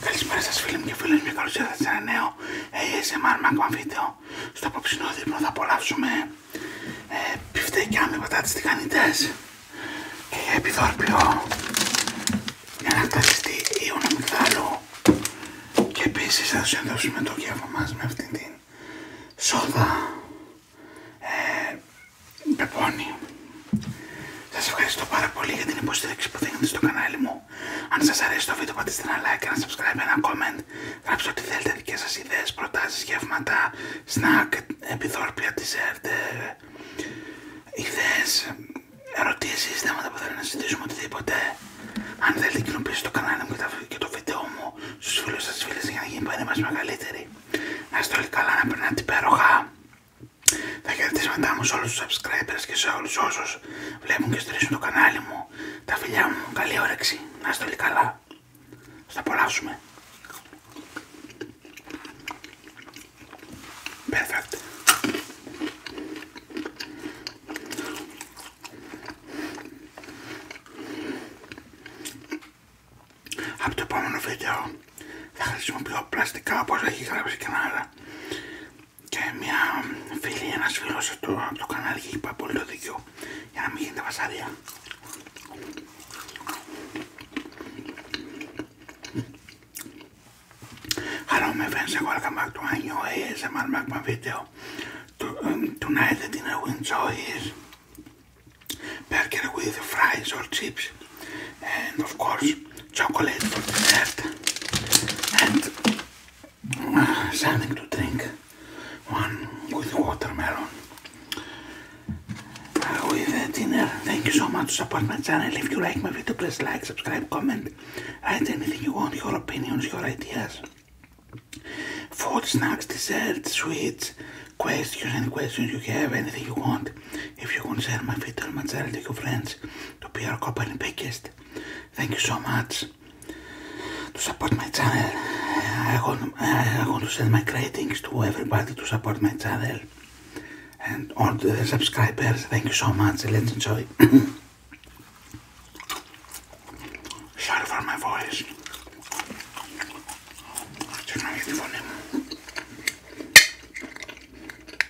Καλησπέρα σα φίλοι μου και φίλοι μου και καλώς ήρθατε σε ένα νέο ASMR ακόμα βίντεο Στο απόψινό δείπνο θα απολαύσουμε ε, πιφτέκια με πατάτες τηγανιτές και επιδόρπιο για να κταριστεί ίωνα και επίση θα συνδέσουμε το κέφα μας με αυτήν την σόδα ε, πεπόνι σας ευχαριστώ πάρα πολύ για την υποστήριξη που δίνετε στο κανάλι μου. Αν σας αρέσει το βίντεο πατήστε ένα like, ένα subscribe, ένα comment. Γράψτε ό,τι θέλετε δικές σας ιδέες, προτάσεις, γεύματα, snack, επιδόρπια, dessert, ιδέες, ερωτήσεις, θέματα που θέλετε να συζητήσουμε, οτιδήποτε. Αν θέλετε κοινοποιήστε το κανάλι μου και το βίντεο μου στους φίλους σας, φίλες για να γίνει η μας μεγαλύτερη. Να είστε όλοι καλά, να περνάτε υπέροχα. Τα χαιρετίσματά μου σε όλους τους subscribers και σε όλους όσους βλέπουν και στηρίζουν το κανάλι μου. Τα φιλιά μου, καλή όρεξη, να είστε όλοι καλά. Θα απολαύσουμε. Perfect. Από το επόμενο βίντεο θα χρησιμοποιώ πλαστικά όπως έχει γράψει και άλλα. Και μια φίλη, ένας φίλος από το, το κανάλι και είπα πολύ το δίκιο για να μην γίνεται βασάρια. Hello my friends and welcome back to my new ASMR Magma video. Um, tonight the dinner we enjoy is burger with fries or chips and of course chocolate for dessert and uh, something to drink. One with watermelon. Uh, with dinner. Thank you so much for supporting my channel. If you like my video, please like, subscribe, comment, write anything you want, your opinions, your ideas. Food, snacks, desserts, sweets, questions, Any questions you have, anything you want. If you consider my video and my channel to your friends to be our company biggest, thank you so much to support my channel. I want, I want to send my greetings to everybody to support my channel and all the subscribers. Thank you so much. Let's enjoy. Sorry for my voice.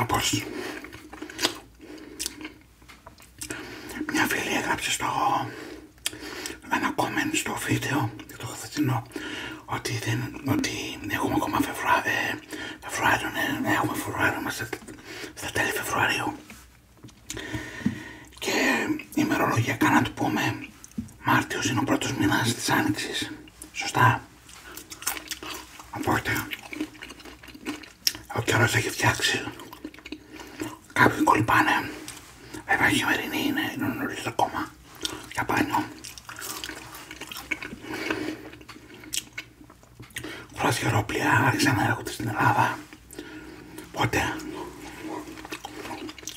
Όπως μια φίλη έγραψε στο ένα comment στο βίντεο το χθεσινό ότι, δεν, ότι έχουμε ακόμα ε, Φεβρουάριο, Φεβρουάριο, ναι, ναι, έχουμε Φεβρουάριο, είμαστε στα τέλη Φεβρουαρίου. Και ημερολογιακά να του πούμε, Μάρτιος είναι ο πρώτος μήνας της Άνοιξης. Σωστά. Οπότε, ο καιρός έχει φτιάξει. Κάποιοι κολυμπάνε. Βέβαια η χειμερινή είναι, είναι νωρίς ακόμα. Για πάνω. αεροπλία άρχισαν να έρχονται στην Ελλάδα. Οπότε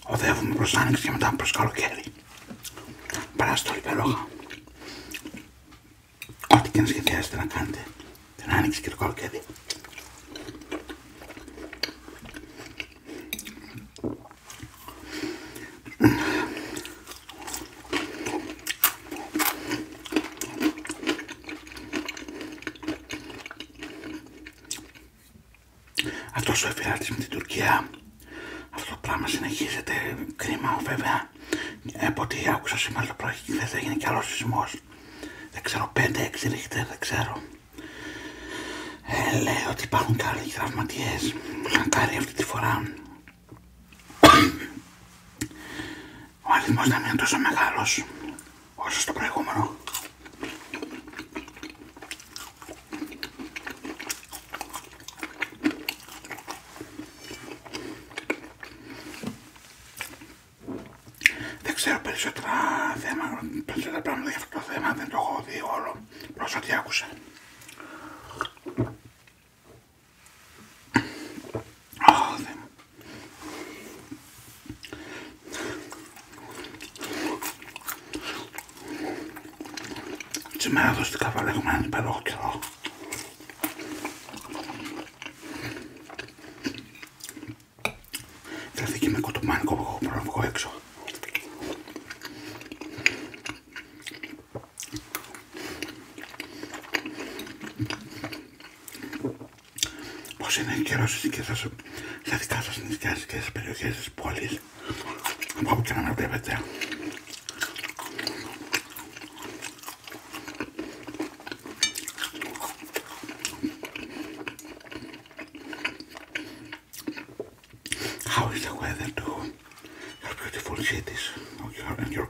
οδεύουμε προς άνοιξη και μετά προς καλοκαίρι. Παράστολη λόγα Ό,τι και να σχεδιάζετε να κάνετε την άνοιξη και το καλοκαίρι αυτό ο εφηράτης με την Τουρκία, αυτό το πράγμα συνεχίζεται, κρίμα βέβαια, από ό,τι άκουσα σήμερα το πρωί και θα έγινε κι άλλος σεισμός. Δεν ξερω πέντε έξι δεν ξέρω. Ε, λέει ότι υπάρχουν και άλλοι τραυματίες. αυτή τη φορά ο αριθμός δεν είναι τόσο μεγάλος όσο στο προηγούμενο. Δεν ξέρω περισσότερα θέμα, περισσότερα πράγματα για αυτό το θέμα, δεν το έχω δει όλο προς ό,τι άκουσα. δεν. Τη μεραδοστικά βαρεγμένη περίοδο καιρό. και με κοτομάνικο που πως είναι καιρός στις και σας, δικά σας νησιά και στις περιοχές της πόλης από όπου και να με βλέπετε How is the weather your beautiful cities and your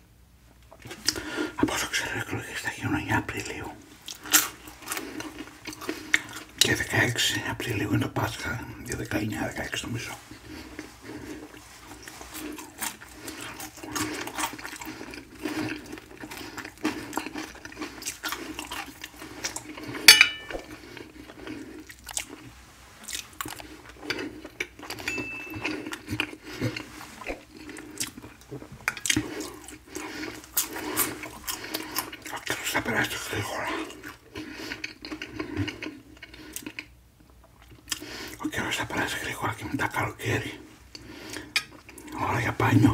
Από όσο ξέρω οι εκλογές θα γίνουν 9 Απριλίου και 16 Απριλίου είναι το Πάσχα για 19-16 νομίζω. Quiero saber esto que Quiero saber esto que que me da caro quiere. Ahora ya apaño.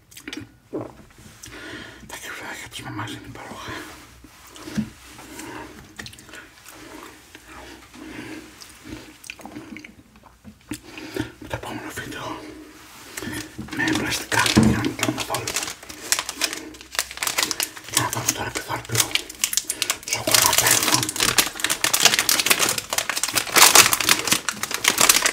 Τα κεφάλια της μαμάς είναι παρόχα. Με το επόμενο βίντεο με πλαστικά για να μην κάνουμε πόλεμο. να τώρα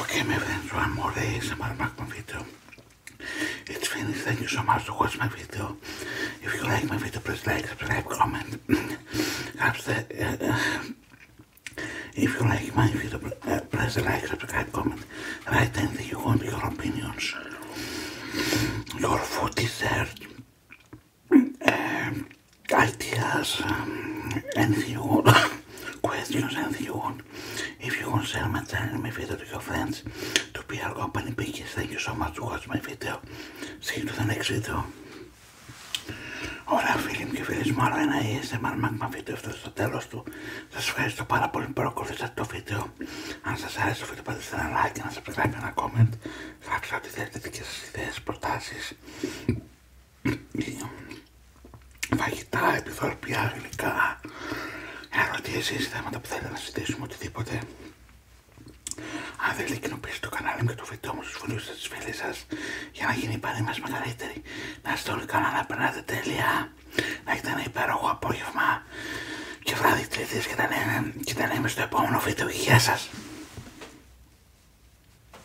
Okay, maybe one more day ASMR Macman video. It's finished. Thank you so much for watching my video. If you like my video, please like, subscribe, comment. Uh, if you like my video, uh, please like, subscribe, comment. Write anything you want, your opinions. Your food dessert. Um, ideas um, and want questions and want if you concern my channel my video to your friends to be our company pickers thank you so much for watching my video see you to the next video Ωραία φίλοι μου και φίλες μου, άλλο ένα ASMR Magma βίντεο αυτό στο τέλος του. Σας ευχαριστώ πάρα πολύ που παρακολουθήσατε το βίντεο. Αν like και να subscribe ένα comment. Γράψτε θέλετε φαγητά, επιθορπιά, γλυκά, ερωτήσεις, θέματα που θέλετε να συζητήσουμε, οτιδήποτε. Αν δεν κοινοποιήστε το κανάλι μου και το βίντεο μου στους φίλους σας, φίλες σας για να γίνει η παρή μας μεγαλύτερη. Να είστε όλοι καλά, να περνάτε τέλεια, να έχετε ένα υπέροχο απόγευμα και βράδυ τρίτη και τα λέμε στο επόμενο βίντεο. Γεια σας!